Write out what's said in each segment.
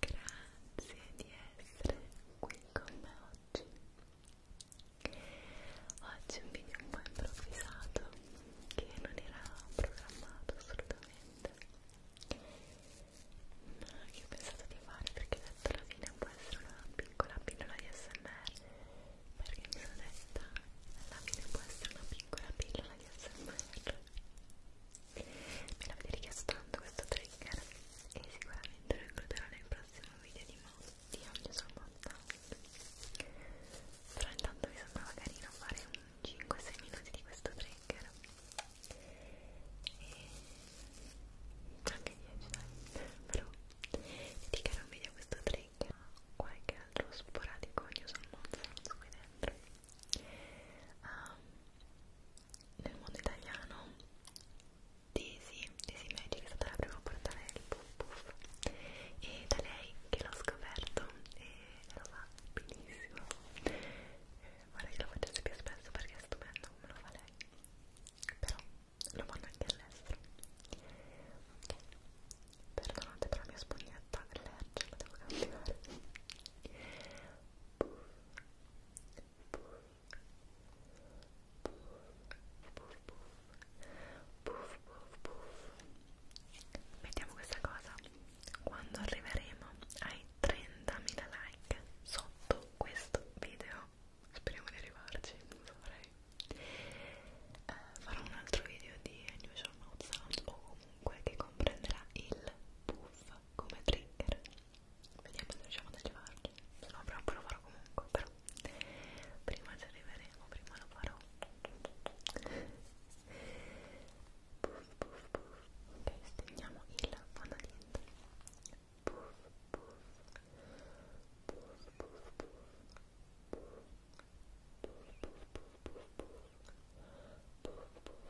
Grazie di essere qui con me oggi. Oggi è un video un po' improvvisato che non era programmato assolutamente, ma che ho pensato di fare perché detto alla fine può essere una piccola pillola di SMR, perché mi sono detta alla fine può essere una piccola pillola di SMR me l'avete richiesto tanto questo trigger e sicuramente lo includerò nel prossimo video di, di oggi sul montaggio però intanto mi sembrava carino fare un 5-6 minuti di questo trigger e anche 10 dai però dedicare un video a questo trigger qualche altro sporadico news al mondo qui dentro um, nel mondo italiano Daisy, Daisy Magic è stata la prima a portare il puff puff e da lei che l'ho scoperto e lo fa benissimo vorrei che lo facesse più spesso perché è stupendo come lo fa lei però lo fanno anche all'estero ok perdonate per la mia spugnetta allergica la devo cambiare puff puff vediamo questa cosa quando arriveremo ai 30.000 like sotto questo video speriamo di arrivarci non saprei eh, farò un altro video di unusual mouth sound o comunque che comprenderà il puff come trigger vediamo se riusciamo ad arrivarci se no però lo farò comunque però prima ci arriveremo prima lo farò puff puff puff ok stendiamo il fondaliente puff puff puff puff puff puff puff puff puff puff puff puff puff puff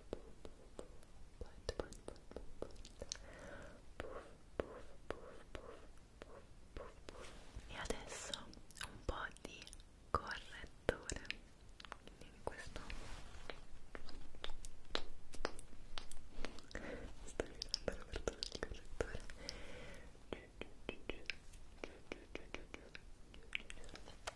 e adesso un po' di correttore quindi in questo sto iniziando l'apertura del correttore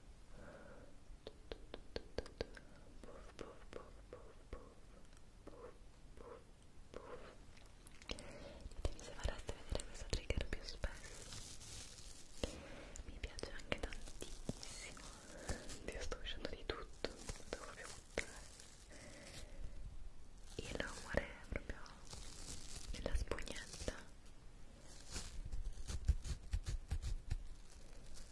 Ditemi se vorreste vedere questo trigger più spesso. Mi piace anche tantissimo. Io sto uscendo di tutto, devo proprio buttare. Il rumore proprio della spugnetta.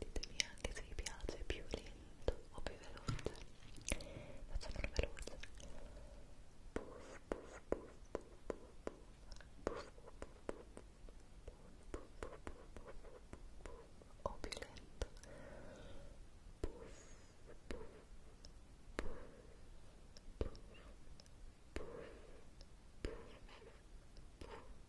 ditemi anche se vi piace più lento o più veloce facciamolo veloce puff puff puff puff o più lento puff puff puff puff puff puff puff puff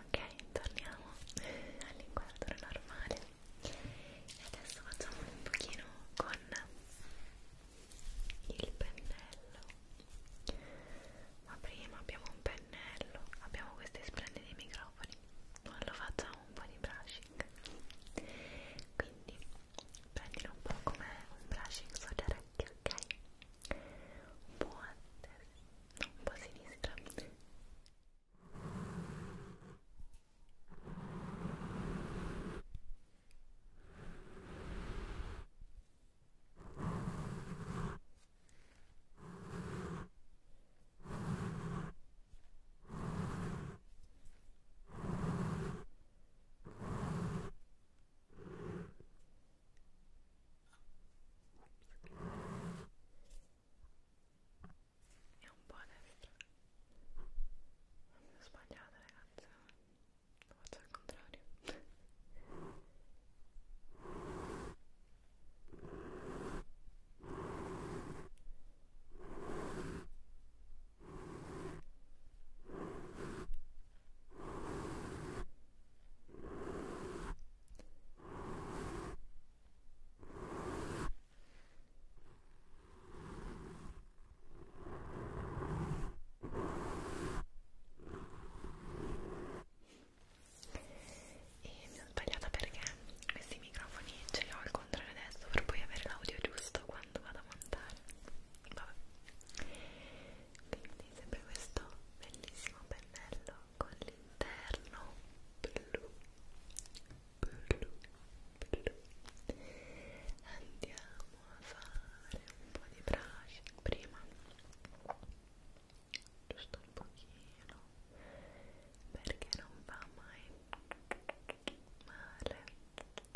Ok, torniamo all'inquadro normale e adesso facciamo un pochino con il pennello. Ma prima abbiamo un pennello, abbiamo questi splendidi microfoni, ma lo facciamo un po' di brushing. Quindi quindi prendilo un po' come un brushing sulle orecchie, ok? Un po' a destra, no, un po' a sinistra ok è un po' a destra ho sbagliato ragazzi lo faccio al contrario e mi sono sbagliata perché questi microfoni ce li ho al contrario adesso per poi avere l'audio giusto quando quando vado a montare vabbè quindi sempre questo bellissimo pennello con l'interno blu blu blu andiamo a fare un po' di brushing prima giusto un pochino perché non va mai male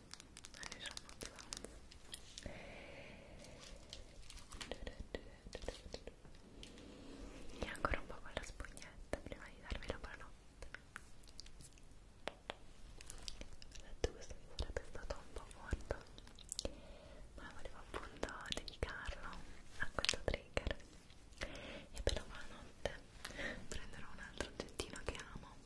diciamo e ancora un po' con la spugnetta prima di darvi la buonanotte ho detto questo mi sarebbe stato un po' corto ma volevo appunto dedicarlo a questo trigger e per la buonanotte prenderò un altro oggettino che amo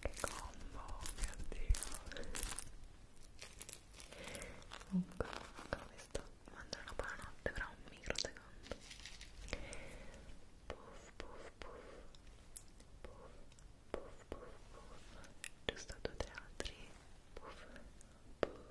Che combo, mio Dio. Comunque, come sto mangiando buonanotte fra un microsecondo. Puff, puff, puff. Puff, puff, puff, puff. Giusto due o tre altri. Puff, puff.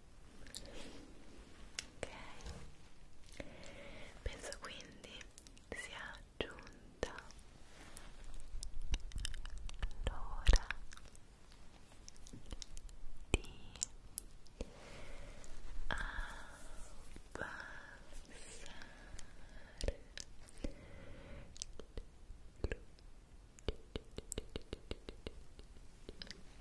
ok penso quindi sia giunta l'ora di abbassare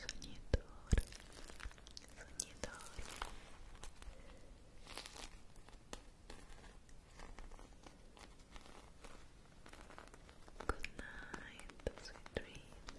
Sognador, sognador. Good night, sweet dreams.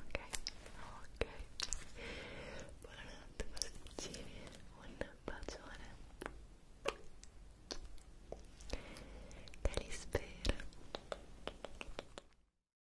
ok buonanotte pasticcini un bacione che li spera